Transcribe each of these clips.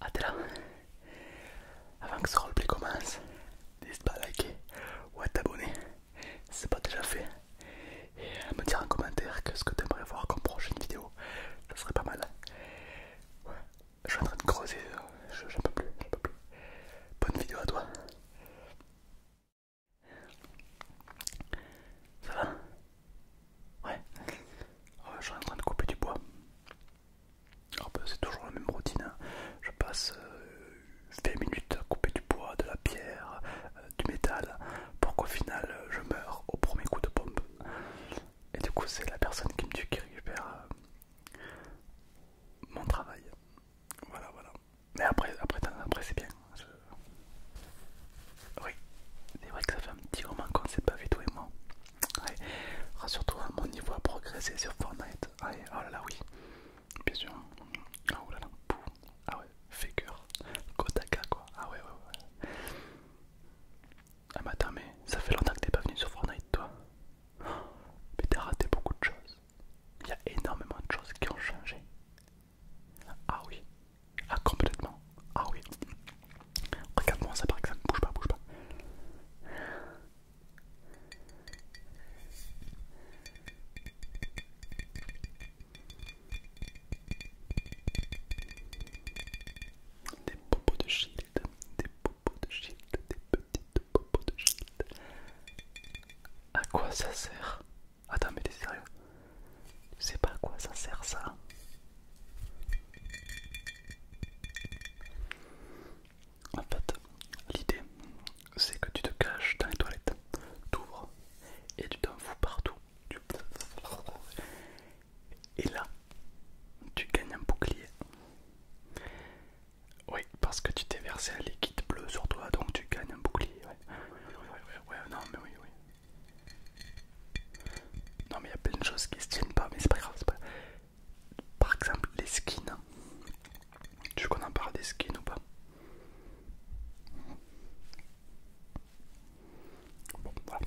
Ah, là avant que ce roleplay commence, n'hésite pas à liker ou à t'abonner si c'est pas déjà fait et à me dire en commentaire ce que aimerais voir comme prochaine vidéo, ça serait pas mal. je suis en train de creuser, euh, j'en peux plus, j'en peux plus. Bonne vidéo à toi. Ça va Ouais, je suis en train de couper du bois. Bah, c'est toujours la même routine. Hein. Je passe euh, minutes à couper du bois, de la pierre, euh, du métal, pour qu'au final euh, je meure au premier coup de pompe. Et du coup, c'est la personne qui me tue qui récupère euh, mon travail. Voilà, voilà. Mais après, après, après c'est bien. Euh, oui, c'est vrai que ça fait un petit moment qu'on ne s'est pas vu toi et moi. surtout rassure mon niveau a progressé sur Fortnite. Ah Oh là oui. Bien sûr. Ah, oh là là. Ah ouais, figure, Kotaka quoi. Ah ouais, ouais, ouais. Ah mais attends, mais ça fait longtemps que t'es pas venu sur Fortnite toi. Mais t'as raté beaucoup de choses. Il y a énormément de choses qui ont changé. Ah oui. Ah complètement. Ah oui. Regarde-moi ça par exemple. Bouge pas, bouge pas. Des popos de shield, des popos de shield, des petites popos de shield. À quoi ça sert Attends, mais t'es sérieux je sais pas à quoi ça sert ça. En fait, l'idée, c'est que tu te caches dans les toilettes, t'ouvres et tu t'en fous partout. Et là, tu gagnes un bouclier. Oui, parce que tu t'es versé un liquide bleu sur toi, donc tu gagnes un bouclier. non, mais oui, oui. Non mais il y a plein de choses qui se tiennent pas mais c'est pas grave, c'est pas Par exemple les skins. Tu connais pas des skins ou pas Bon voilà.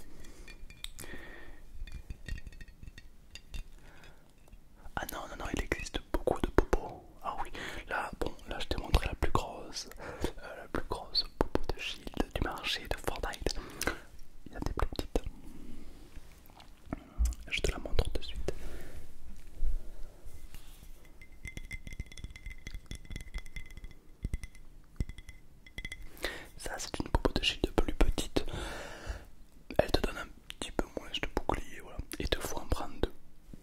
Ah non non non il existe beaucoup de popos. Ah oui, là bon là je t'ai montré la plus grosse, euh, la plus grosse popo de shield du marché de Fortnite. Il y a des plus petites. Je te la montre de suite. Ça, c'est une boupe de chute plus petite. Elle te donne un petit peu moins de bouclier, voilà. Et te fois en prendre deux.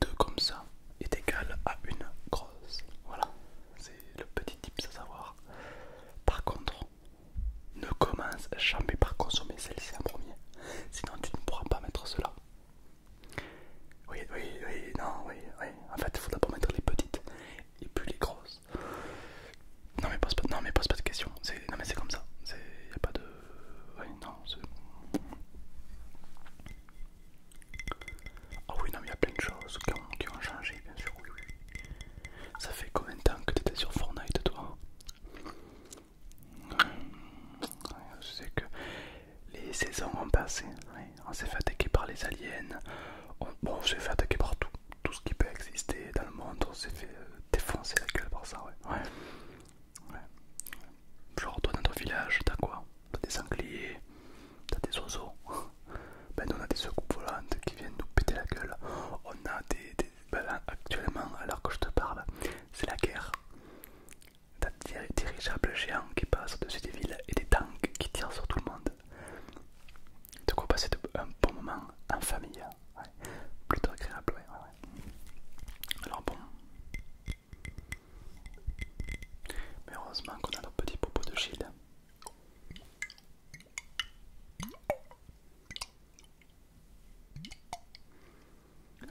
Deux comme ça est égal à une grosse. Voilà, c'est le petit tip à savoir. Par contre, ne commence jamais par consommer celle-ci en premier, sinon tu ne pourras pas mettre cela. Oui, oui, oui, non, oui, oui. En fait, il faut d'abord mettre les petites et puis les grosses. Non, mais pose pas, non, mais pose pas de questions. Non, mais c'est comme ça. Il n'y a pas de. Oui, non, c'est. Ah oui, non, il y a plein de choses qui ont, changé, bien sûr. Ça fait combien de temps que tu étais sur Fortnite, toi C'est que les saisons ont passé. On s'est fait attaquer par les aliens. On, s'est fait attaquer par tout, tout ce qui peut exister dans le monde. On s'est fait euh, défoncer la gueule par ça, ouais. Genre, toi, dans ton village, t'as quoi T'as des sangliers, t'as des oiseaux, ben on a des secoues volantes qui viennent nous péter la gueule, on a des... Ben, actuellement, alors que je te parle, c'est la guerre. T'as des dirigeables géants qui passent au-dessus des villes et des tanks qui tirent sur tout le monde. Bah, de quoi passer un bon moment en famille, plutôt agréable, Alors bon... Mais heureusement qu'on a nos petits popos de shield.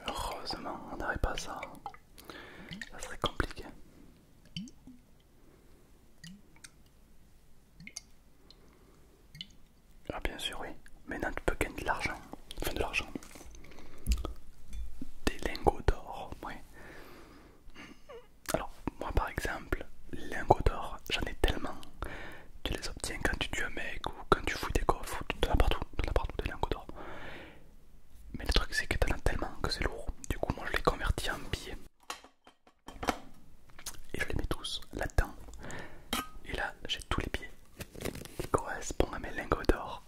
Heureusement, on n'aurait pas ça. Ça serait compliqué. Ah bien sûr oui, maintenant tu peux gagner de l'argent, enfin de l'argent, des lingots d'or, oui. Alors, moi par exemple, lingots d'or, j'en ai tellement. Tu les obtiens quand tu tues un mec ou quand tu fous des coffres, tu en as partout, partout des lingots d'or. Mais le truc c'est que en as tellement que c'est lourd. Du coup, moi je les convertis en billets. Et je les mets tous là-dedans. Et là, j'ai tous les billets qui correspondent à mes lingots d'or.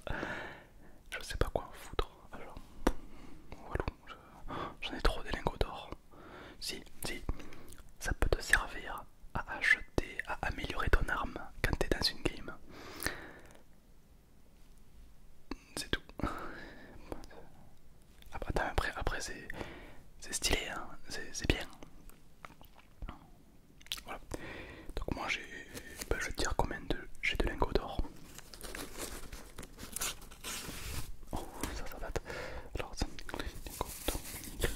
Je sais pas quoi en foutre. Alors, voilà, j'en ai trop des lingots d'or. Si, si, ça peut te servir à acheter, à améliorer ton arme quand t'es dans une game. C'est tout. après, après c'est stylé, hein. c'est bien. Donc moi j'ai, ben, je vais dire combien de j'ai de lingots d'or. Oh, ah, ça, ça Alors, ça je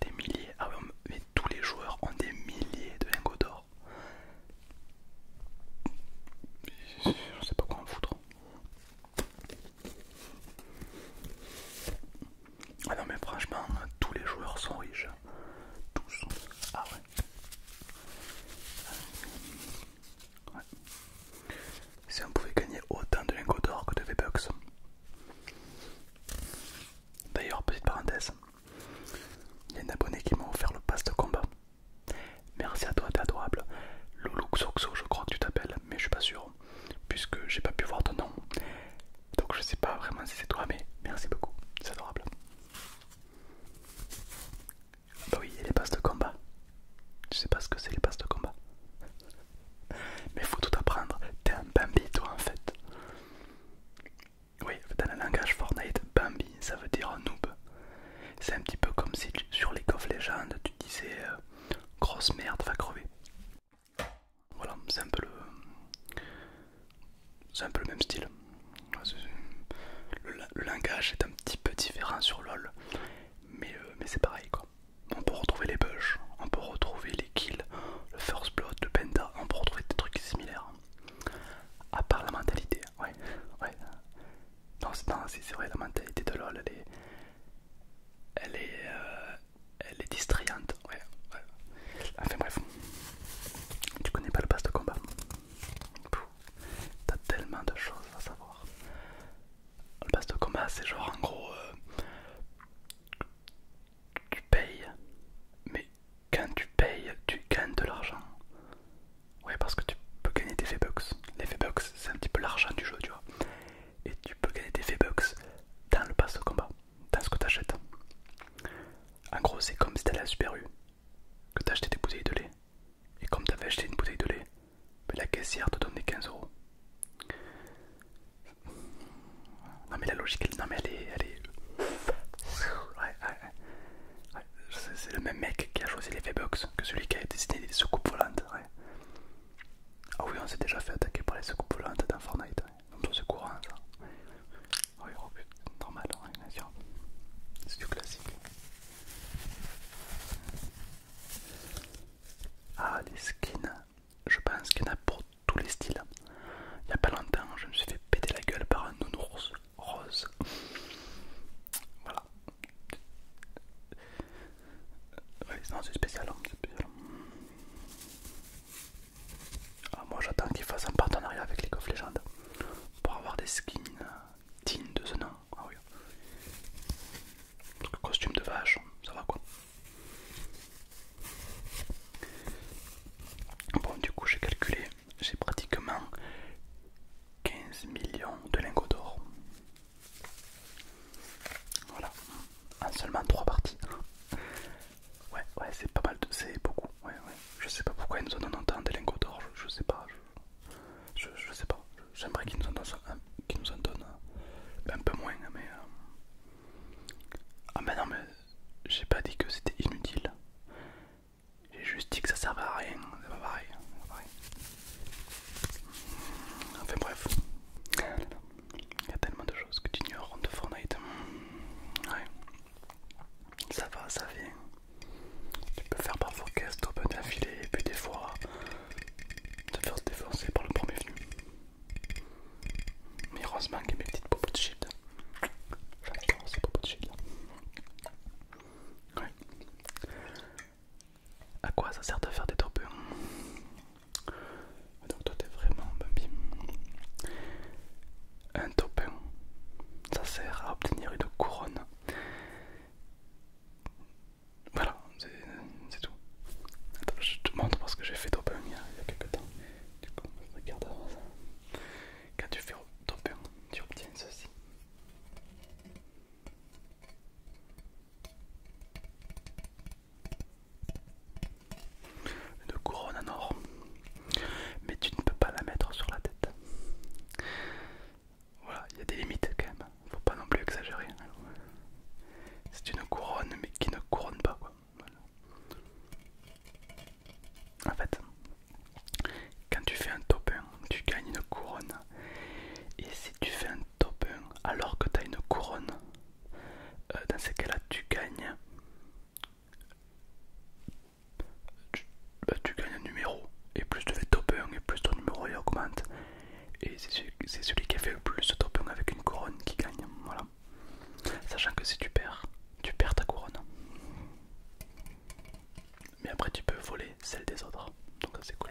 des milliers. Ah, mais tous les joueurs ont des milliers de lingots d'or. Je sais pas quoi en foutre. Ah non mais franchement, tous les joueurs sont riches. Tous. Ah ouais. Si on pouvait gagner autant de lingots d'or que de V-Bucks. D'ailleurs, petite parenthèse, il y a un abonné qui m'a offert le pass de combat. Merci à toi, t'es adorable. Loulou Xoxo, je crois que tu t'appelles, mais je suis pas sûr, puisque j'ai pas pu voir ton nom. Donc je sais pas vraiment si c'est toi, mais merci beaucoup, c'est adorable. Bah oui, les passes de combat. Tu sais pas ce que c'est les passes de combat. Mais faut tout apprendre, t'es un Bambi toi en fait. Oui, dans le langage Fortnite, Bambi ça veut dire noob. C'est un petit peu comme si sur les of Legends tu disais euh, grosse merde va crever. Voilà, c'est un peu le. un peu même style. Le, langage est un petit peu différent sur LOL, mais, euh, mais c'est pareil quoi. On peut retrouver les bugs, on peut retrouver les kills, le first blood, le penta, on peut retrouver des trucs similaires. À part la mentalité, ouais, ouais, non, c'est vrai, la mentalité de LOL, elle est. Elle est. Euh, elle est distrayante. Ouais, ouais. Enfin bref. Tu connais pas le pass de combat. T'as tellement de choses à savoir. Le pass de combat, c'est genre en gros. Euh, tu payes, mais quand tu payes, tu gagnes de l'argent. Ouais, parce que tu peux gagner des V-Bucks. Les V-Bucks, c'est un petit peu l'argent du jeu, tu vois. Et tu peux gagner des V-Bucks dans le pass au combat, dans ce que achètes. En gros, c'est comme si t'allais à Super U, que t'achetais des bouteilles de lait. Et comme t'avais acheté une bouteille de lait, ben, la caissière te donnait 15 euros. Non mais la logique, elle, est, elle ouais c'est le même mec qui a choisi les box box que celui qui a dessiné les soucoupes volantes. Ah oui, on s'est déjà fait attaquer par les soucoupes volantes dans Fortnite. Ouais. Donc c'est courant ça. Oui, oh, normal, bien sûr. C'est du classique. Ah, les skins. Je pense qu'il y en a pour tous les styles. Il n'y a pas longtemps, je me suis fait péter la gueule par un nounours rose. Voilà. résistance c'est spécial, hein, ah, moi j'attends qu'ils fassent un partenariat avec les of légendes pour avoir des skins dignes euh, de ce nom. Ah costume de vache, ça va quoi. Bon, du coup, j'ai calculé j'ai pratiquement 15 millions de lingots d'or. Voilà, en seulement 3 parties. Ouais, ouais, c'est pas mal, c'est beaucoup. Ouais, ouais. Je sais pas pourquoi ils nous en donnent autant de lingots d'or, je, sais pas. Je, sais pas. J'aimerais qu'ils nous en donnent, nous en donnent un peu moins, mais. Euh, ah, mais non, mais j'ai pas dit que c'était inutile. J'ai juste dit que ça servait à rien, c'est pas pareil. pareil. Enfin bref, il y a tellement de choses que tu ignores de Fortnite. Ouais. Ça va, ça vient. Tu peux faire parfois caisse open d'affilée et puis des fois te faire se défoncer par le premier venu. Mais heureusement qu'il y a mes petites popos de shield. ces de shield. À quoi ça sert de faire des tourbillons Donc toi t'es vraiment bambi. Un topin, ça sert à obtenir une couronne. Voilà, c'est tout. Attends, je te montre parce que j'ai fait top il y a, il y a quelques temps. Du coup, regarde avant ça. Quand tu fais topin, tu obtiens ceci. Une couronne en or. Mais tu ne peux pas la mettre sur la tête. Voilà, il y a des limites quand même. Faut pas non plus exagérer. C'est une couronne mais qui ne couronne pas quoi. En fait, quand tu fais un top 1, tu gagnes une couronne. Et si tu fais un top 1 alors que tu as une couronne, euh, dans ces cas-là, tu gagnes. Bah, gagnes un numéro. Et plus tu fais top 1 et plus ton numéro augmente. Et c'est celui, qui a fait le plus de top 1 avec une couronne qui gagne. Voilà. Sachant que si tu perds, tu perds ta couronne mais après tu peux voler celle des autres, donc c'est cool.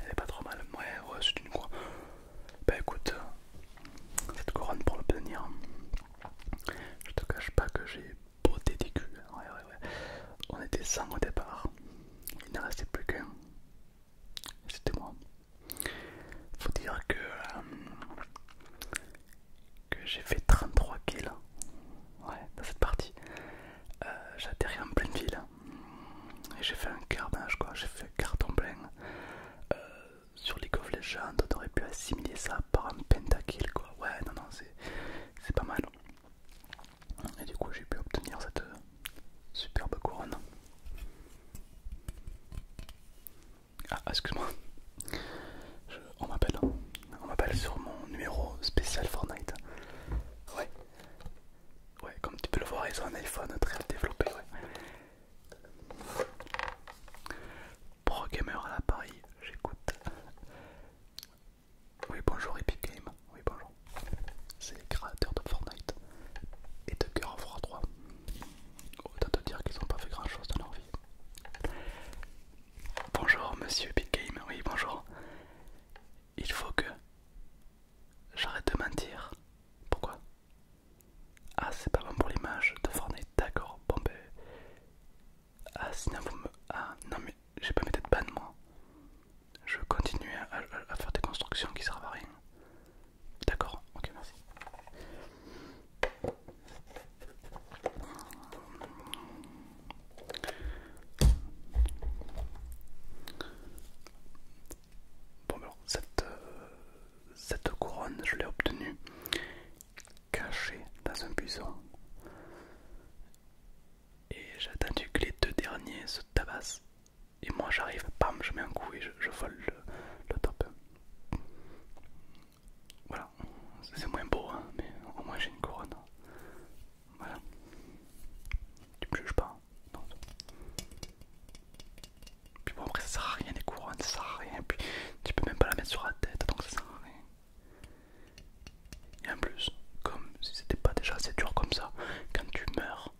Elle est pas trop mal, ouais, ouais, c'est une quoi. Bah écoute, cette couronne pour l'obtenir, je te cache pas que j'ai beauté des culs. On était 100 au départ. Il n'en restait plus qu'un. C'était moi. Faut dire que, euh, que j'ai fait 33 kills dans cette partie. Euh, j'ai atterri en pleine ville. Et j'ai fait un carnage quoi, j'ai fait carton plein. Euh, sur League of Legends, on aurait pu assimiler ça par un pentakill quoi. Ouais, non, non, c'est pas mal. Et du coup j'ai pu obtenir cette euh, superbe couronne. Ah excuse-moi. On m'appelle. Hein. On m'appelle sur mon numéro spécial Fortnite. Ouais. Ouais, comme tu peux le voir, ils ont un iPhone très développé, ouais. Pro gamer à l'appareil, j'écoute. Oui bonjour Epic Game, oui bonjour. C'est les créateurs de Fortnite et de Gears of War 3. Autant te dire qu'ils n'ont pas fait grand chose dans leur vie. Bonjour monsieur Epic Game, oui bonjour. Il faut que j'arrête de mentir. Pourquoi Ah c'est pas bon pour l'image de Fortnite, d'accord. Bon ben ah sinon vous me... Ah non mais j'ai pas mes têtes ban moi. Je continue à, à, faire des constructions qui servent à rien. D'accord, ok merci. Bon alors cette euh, couronne je l'ai obtenue caché dans un buisson. Et j'ai attendu que les deux derniers se tabassent. Et moi j'arrive, bam, je mets un coup et je, je vole le, top. Voilà, c'est moins beau, hein, mais au moins j'ai une couronne. Voilà. Tu me juges pas Non. Hein, Puis bon, après ça sert à rien les couronnes, ça sert à rien. Puis tu peux même pas la mettre sur la tête, donc ça sert à rien. Et en plus, comme si c'était pas déjà assez dur comme ça, quand tu meurs,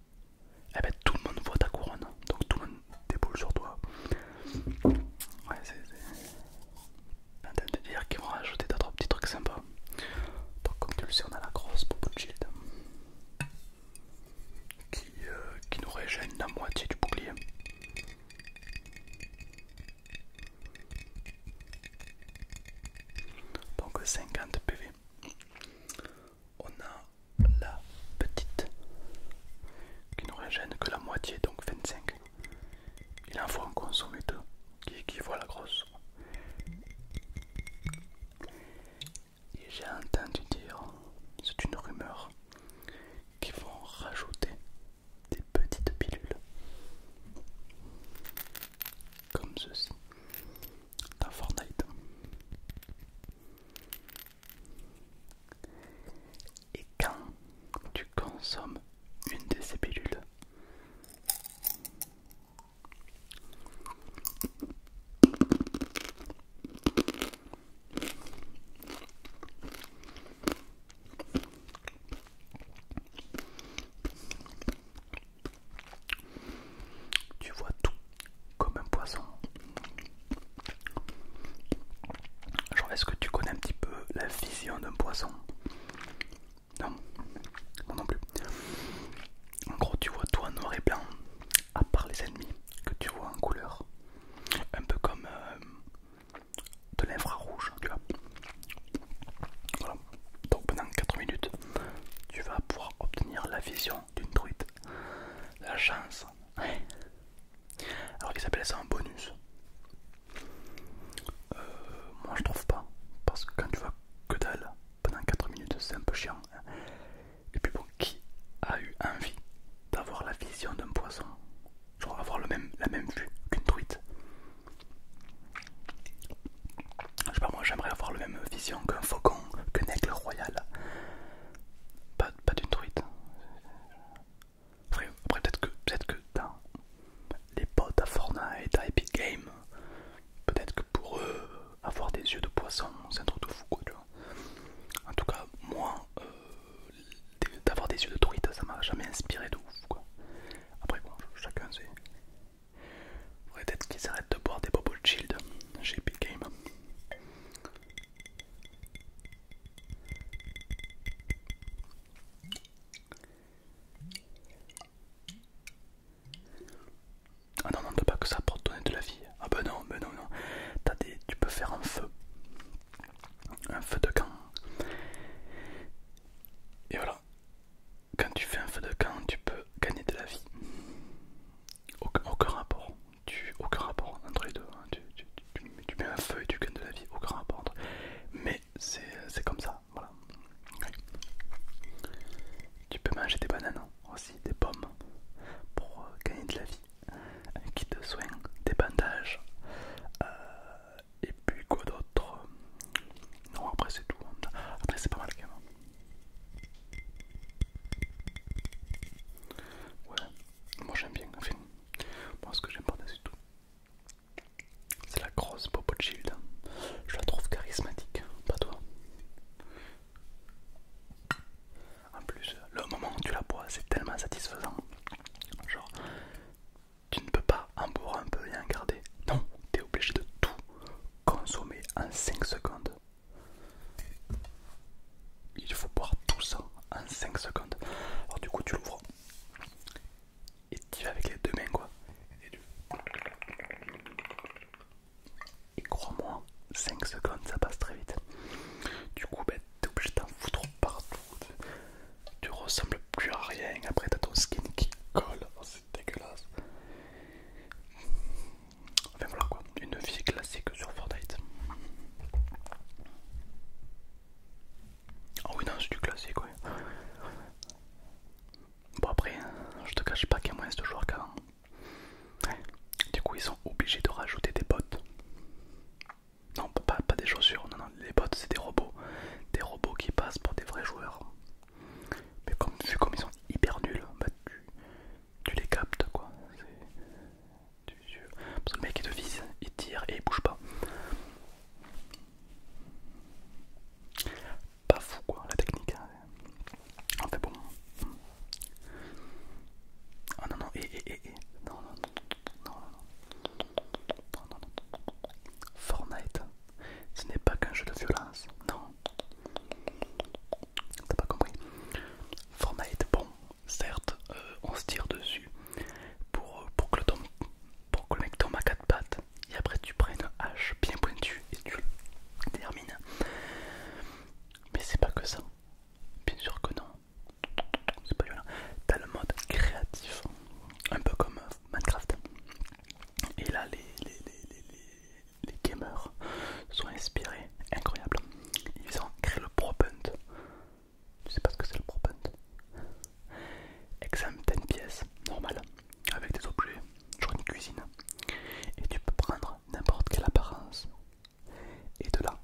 eh ben, tout le monde voit ta couronne, donc tout le monde déboule sur toi. Ouais, c'est. En de dire qu'ils vont rajouter d'autres petits trucs sympas. Donc, comme tu le sais, on a la grosse pour Shield qui, euh, qui nous régène la moitié du bouclier. Donc 50 PV. On a la petite qui ne régène que la moitié, donc 25. Il en faut en consommer deux qui voit la grosse. Et j'ai entendu dire, c'est une rumeur, qu'ils vont rajouter des petites pilules comme ceci dans Fortnite et quand tu consommes une de ces pilules tu vois tout comme un poisson. Genre, est-ce que tu connais un petit peu la vision d'un poisson Non, non non plus. En gros, tu vois tout en noir et blanc, à part les ennemis que tu vois en couleur. Un peu comme euh, de l'infrarouge, tu vois. Voilà. Donc pendant 4 minutes, tu vas pouvoir obtenir la vision d'une truite. La chance. Hein. Alors ils appellent ça un bonus. Euh, moi je trouve pas. Parce que quand tu vas que dalle pendant 4 minutes, c'est un peu chiant. Hein. Et puis bon, qui a eu envie d'avoir la vision d'un poisson Genre avoir le même, la même vue qu'une truite je sais pas, moi j'aimerais avoir la même vision qu'un faucon, qu'un aigle royal. Pas, pas d'une truite. Après, peut-être que, peut que dans les potes à Fortnite, à Epic Games, peut-être que pour eux, avoir des yeux de poisson, c'est un truc de fou quoi, En tout cas, moi, euh, d'avoir des yeux de truite, ça m'a jamais inspiré de ouf Après, bon, chacun sait. Faudrait peut-être qu'ils arrêtent de boire des bobos shield chez Epic Ah non, non, ne pas que ça pour donner de la vie. Ah ben non, ben non, non. tu peux faire un feu. Un feu de camp. Et voilà quand tu fais un feu de camp, tu peux gagner de la vie. Aucun, rapport, tu, aucun rapport entre les deux. Hein. Tu, mets un feu et tu gagnes de la vie, aucun rapport. Entre... Mais c'est comme ça, voilà. Tu peux manger des bananes hein, aussi, des pommes pour euh, gagner de la vie. Un kit de soins, des bandages, euh, et puis quoi d'autre Non, après c'est tout. Après c'est pas mal quand même. Ouais, moi j'aime bien. Enfin, moi ce que j'aime pas c'est tout. C'est la grosse Bobo gilde Je la trouve charismatique, pas toi. En plus, le moment où tu la bois, c'est tellement satisfaisant. Genre, tu ne peux pas en boire un peu et en garder. Non, tu es obligé de tout consommer en 5 secondes. Il faut boire tout ça en 5 secondes. Alors du coup tu l'ouvres et tu vas avec les deux mains quoi. Et, crois-moi, 5 secondes ça passe très vite. Du coup ben, t'es obligé d'en foutre partout. Tu ressembles plus à rien. Après t'as ton skin qui colle c'est dégueulasse. Enfin voilà quoi, une vie classique sur Fortnite. oh oui non c'est du classique oui. Bon après, je te cache pas qu'il y a moins de joueurs qu'avant. Du coup ils sont obligés de rajouter des bots. Non pas, pas des chaussures, non non les bots c'est des robots. Des robots qui passent pour des vrais joueurs. Mais comme, vu comme ils sont hyper nuls, tu, les captes quoi. Parce que le mec il te vise, il tire et il bouge pas. Pas fou quoi, la technique. En fait bon. Ah non, non, Non, non, non, non, ce n'est pas qu'un jeu de violence, non. T'as pas compris Formate, bon, certes, euh, on se tire dessus pour, pour, que, le mec tombe à quatre pattes et après tu prennes une hache bien pointue et tu le termines. Mais c'est pas que ça. Bien sûr que non. C'est pas violent. T'as le mode créatif, un peu comme Minecraft. Et là, les, les, gamers sont inspirés. Incroyable. Ils ont créé le Pro Punt. Tu sais pas ce que c'est le Pro Punt Exemple 10 pièces, normal, avec des objets, genre une cuisine. Et tu peux prendre n'importe quelle apparence. Et de là,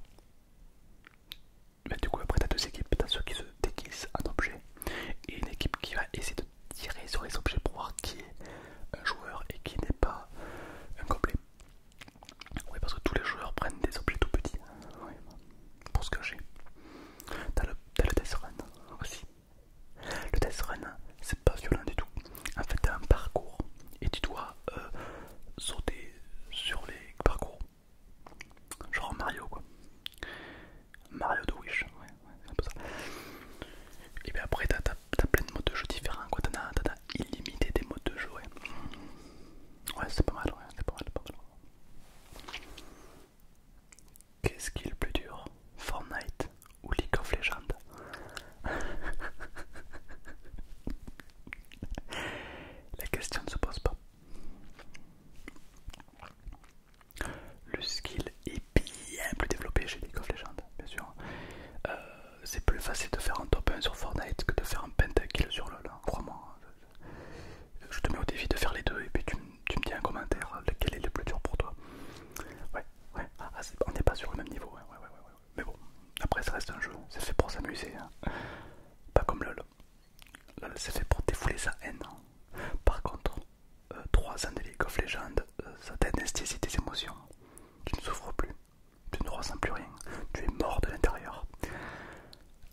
bah, du coup, après, tu as deux équipes. Tu as ceux qui se déguisent en objet et une équipe qui va essayer de tirer sur les objets pour voir qui est un joueur et qui n'est pas un gobelet. Oui, parce que tous les joueurs prennent des objets tout petits hein. oui, pour se cacher. T'as le, le test run aussi. Le test run, c'est pas violent du tout. En fait, t'as un parcours et tu dois euh, sauter sur les parcours. Genre Mario quoi. Mario de Wish, ouais, c'est un peu ça. Et bien après, t'as plein de modes de jeu différents, quoi. T'en as, illimité des modes de jeu, ouais. Ouais, c'est pas mal, ouais, c'est pas mal, pas mal. Qu'est-ce qui est le plus dur Fortnite ou League of Legends La question ne se pose pas. Le skill est bien plus développé chez League of Legends, bien sûr. Euh, c'est plus facile de faire un top 1 sur Fortnite que de faire un pentakill sur LoL, hein, crois-moi. Je te mets au défi de faire les deux et puis tu, me dis un commentaire euh, lequel est le plus dur pour toi. Ouais, ouais, ah, ah, on n'est pas sur le même niveau, hein. ouais, ouais, ouais, Mais bon, après ça reste un jeu, c'est fait pour s'amuser, hein. pas comme LoL. LoL c'est fait pour défouler sa haine. Par contre, 3 ans de League of Legends, ça t'anesthésie tes émotions. Tu ne souffres plus, tu ne ressens plus rien, tu es mort de l'intérieur.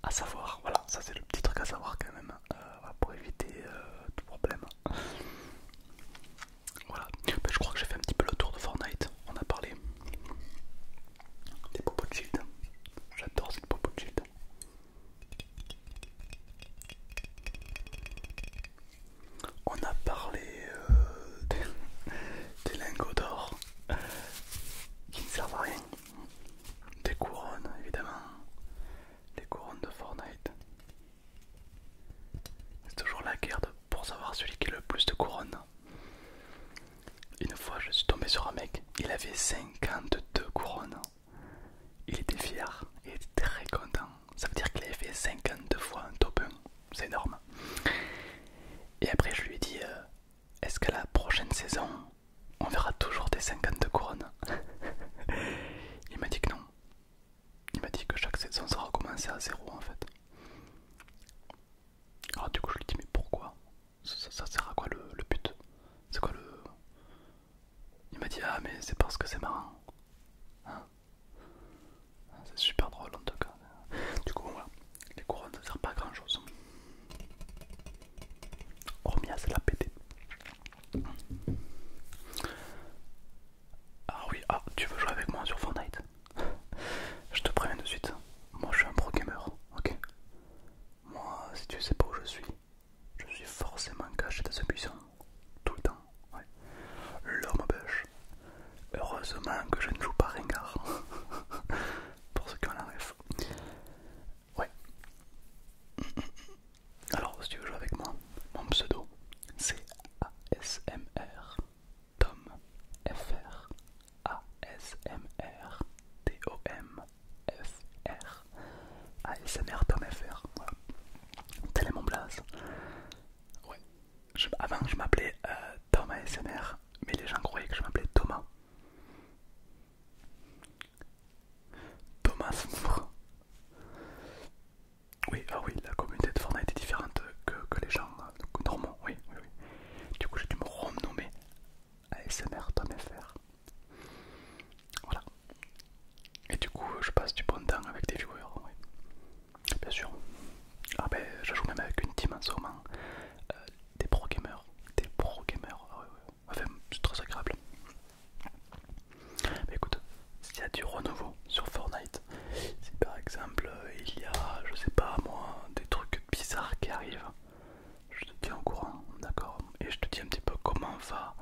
À savoir, voilà, ça c'est le petit truc à savoir quand même, euh, pour éviter euh, tout problème. Voilà, ben, je crois que j'ai fait un petit peu le tour de Fortnite, on a parlé des popo de shield, j'adore ces popo de shield. On a parlé euh, des, lingots d'or qui ne servent à rien. Des couronnes, évidemment. des couronnes de Fortnite. C'est toujours la guerre pour savoir celui qui a le plus de couronnes. Une fois, je suis tombé sur un mec, il avait 52 couronnes. Il était fier, il était très content. Ça veut dire qu'il avait fait 52 fois un top 1, c'est énorme. Et après, je lui ai dit euh, Est-ce qu'à la prochaine saison, on verra toujours des 52 couronnes Il m'a dit que non. Il m'a dit que chaque saison ça recommençait à zéro en fait. Alors du coup je lui dis mais pourquoi ça, sert à quoi le, le but C'est quoi le... Il m'a dit Ah, mais c'est parce que c'est marrant. Hein ah, c'est super drôle en tout cas. Du coup, voilà, les couronnes ne servent pas à grand chose. Hormis ah, c'est la pété Ah oui, ah, tu veux jouer avec moi sur Fortnite Je te préviens de suite. Moi je suis un pro gamer, ok Moi, si tu sais pas où je suis, je suis forcément caché dans ce buisson. Tout le temps. L'homme bêche. Heureusement que je ne joue pas Ringard. Pour ceux qui en rêve. Ouais. Alors, si tu veux jouer avec moi, mon pseudo, c'est ASMR. Tom FR. r. T-O-M. R. ASMR Tom FR. Voilà. Tel est mon blaze. Ouais. avant, ah ben, je m'appelais euh, Thomas mais les gens croyaient que je m'appelais Thomas. Thomas Oui, ah oui, la communauté de Fortnite était différente que, les gens euh, normalement Oui, oui, Du coup, j'ai dû me renommer ASMR Tom FR. Voilà. Et du coup, je passe du bon temps avec des viewers, oui. bien sûr. Ah ben, je joue même avec une team en ce moment, euh, des pro gamers, des pro gamers, ah enfin, c'est très agréable. Mais écoute, s'il y a du renouveau sur Fortnite, si par exemple euh, il y a, je sais pas moi, des trucs bizarres qui arrivent, je te tiens au courant, d'accord Et je te dis un petit peu comment va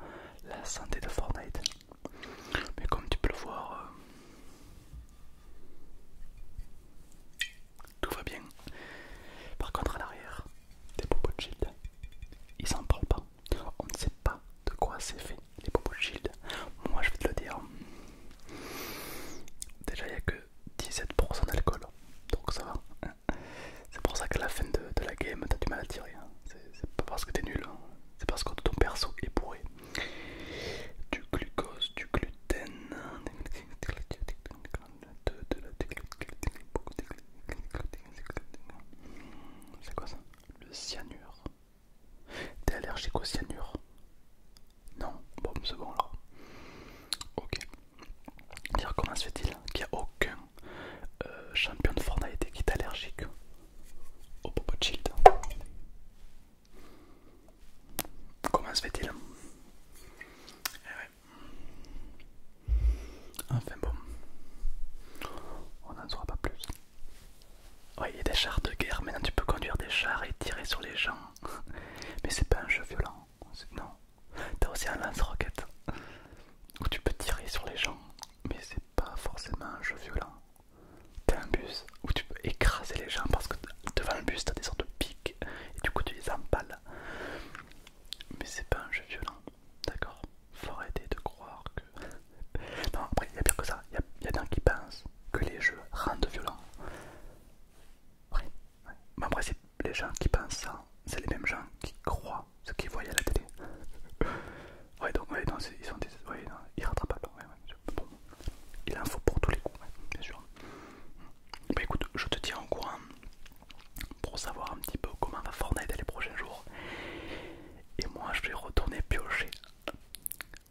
la santé de Fortnite. Mais comme tu peux le voir, euh, tout va bien. Par contre, à l'arrière, des popos de shield, ils s'en parlent pas. On ne sait pas de quoi c'est fait, les popos de Moi, je vais te le dire. Déjà, il n'y a que 17% d'alcool, donc ça va. Hein. C'est pour ça qu'à la fin de, de la game, t'as du mal à tirer. Hein. C'est pas parce que t'es nul, hein c'est parce que ton perso est bourré du glucose, du gluten, c'est quoi ça Le cyanure. T'es allergique au cyanure Non, bon, c'est bon alors. Ok. Dire comment se fait-il qu'il n'y a aucun euh, champion de Fortnite qui est allergique au propos de Comment se fait-il hein? eh ouais. Enfin bon, on n'en saura pas plus. Oui, il y a des chars de guerre, maintenant tu peux conduire des chars et tirer sur les gens. Mais c'est pas un jeu violent, non. T'as aussi un lance-roquette où tu peux tirer sur les gens, mais c'est pas forcément un jeu violent. T'as un bus où tu peux écraser les gens parce que devant le bus t'as des sortes de pics et du coup tu les empales. Mais c'est pas un jeu violent, d'accord Faut arrêter de croire que. non, après il y a bien que ça, il y a, des gens qui pensent que les jeux rendent violents. Oui, mais après c'est les gens qui pensent ça, c'est les mêmes gens qui croient ce qu'ils voient à la télé. Ouais, donc, ils sont des... ouais, non, rattrapent, Ouais, bon. Il en faut pour tous les coups, bien sûr. Bah écoute, je te tiens au courant pour savoir un petit peu comment va Fortnite les prochains jours. Et moi, je vais retourner piocher.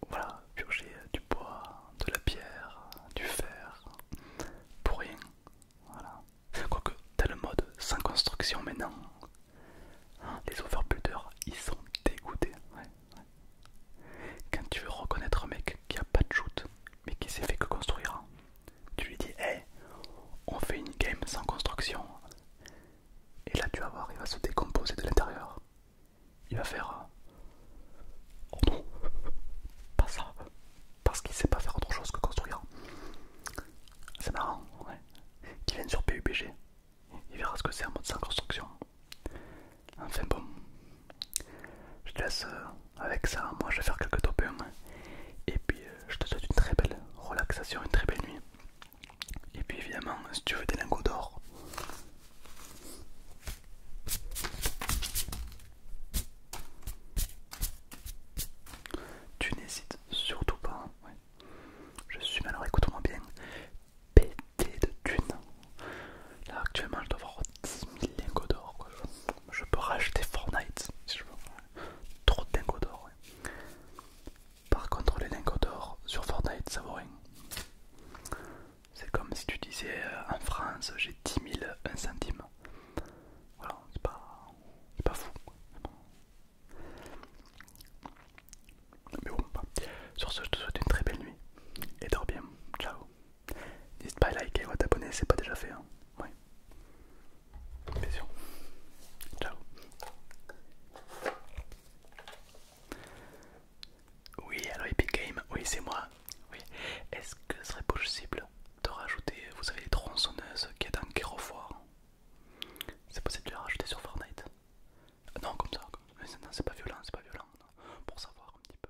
Voilà, piocher du bois, de la pierre, du fer, pour rien. Voilà. Quoique, t'as le mode sans construction maintenant, Hein, les overbuilders ils sont dégoûtés. Quand tu veux reconnaître un mec qui a pas de shoot, mais qui s'est fait que construire, hein, tu lui dis, hé, on fait une game sans construction. Et là, tu vas voir, il va se décomposer de l'intérieur. Il va faire... Euh, oh non, pas ça. Parce qu'il sait pas faire autre chose que construire. C'est marrant, ouais. Qui viennent sur PUBG, il verra ce que c'est un mode sans construction. Enfin bon, je te laisse euh, avec ça. Moi, je vais faire quelques 1. Et puis, euh, je te souhaite une très belle relaxation, une très belle nuit. Et puis, évidemment, si tu veux des lingots d'or, tu n'hésites surtout pas. Hein. Je suis malheureux, écoute-moi bien pété de thunes. Là actuellement je dois avoir 10 000 lingots d'or. Je peux racheter Fortnite si je veux. Trop de lingots d'or. Par contre les lingots d'or sur Fortnite ça vaut rien. C'est comme si tu disais euh, en France j'ai 10 000 1 centime. Voilà, c'est pas, pas fou. Mais bon, bah. sur ce, je te souhaite une très belle nuit et dors bien. Ciao. N'hésite pas à liker ou à t'abonner c'est pas déjà fait. Hein. Ouais. Ciao. Oui, alors Epic Game, oui, c'est moi. Oui. Est-ce que ce serait possible de rajouter, vous savez, les tronçonneuses qui est dans C'est possible de les rajouter sur Fortnite non, comme ça, non, c'est pas violent, c'est pas violent, pour savoir un petit peu.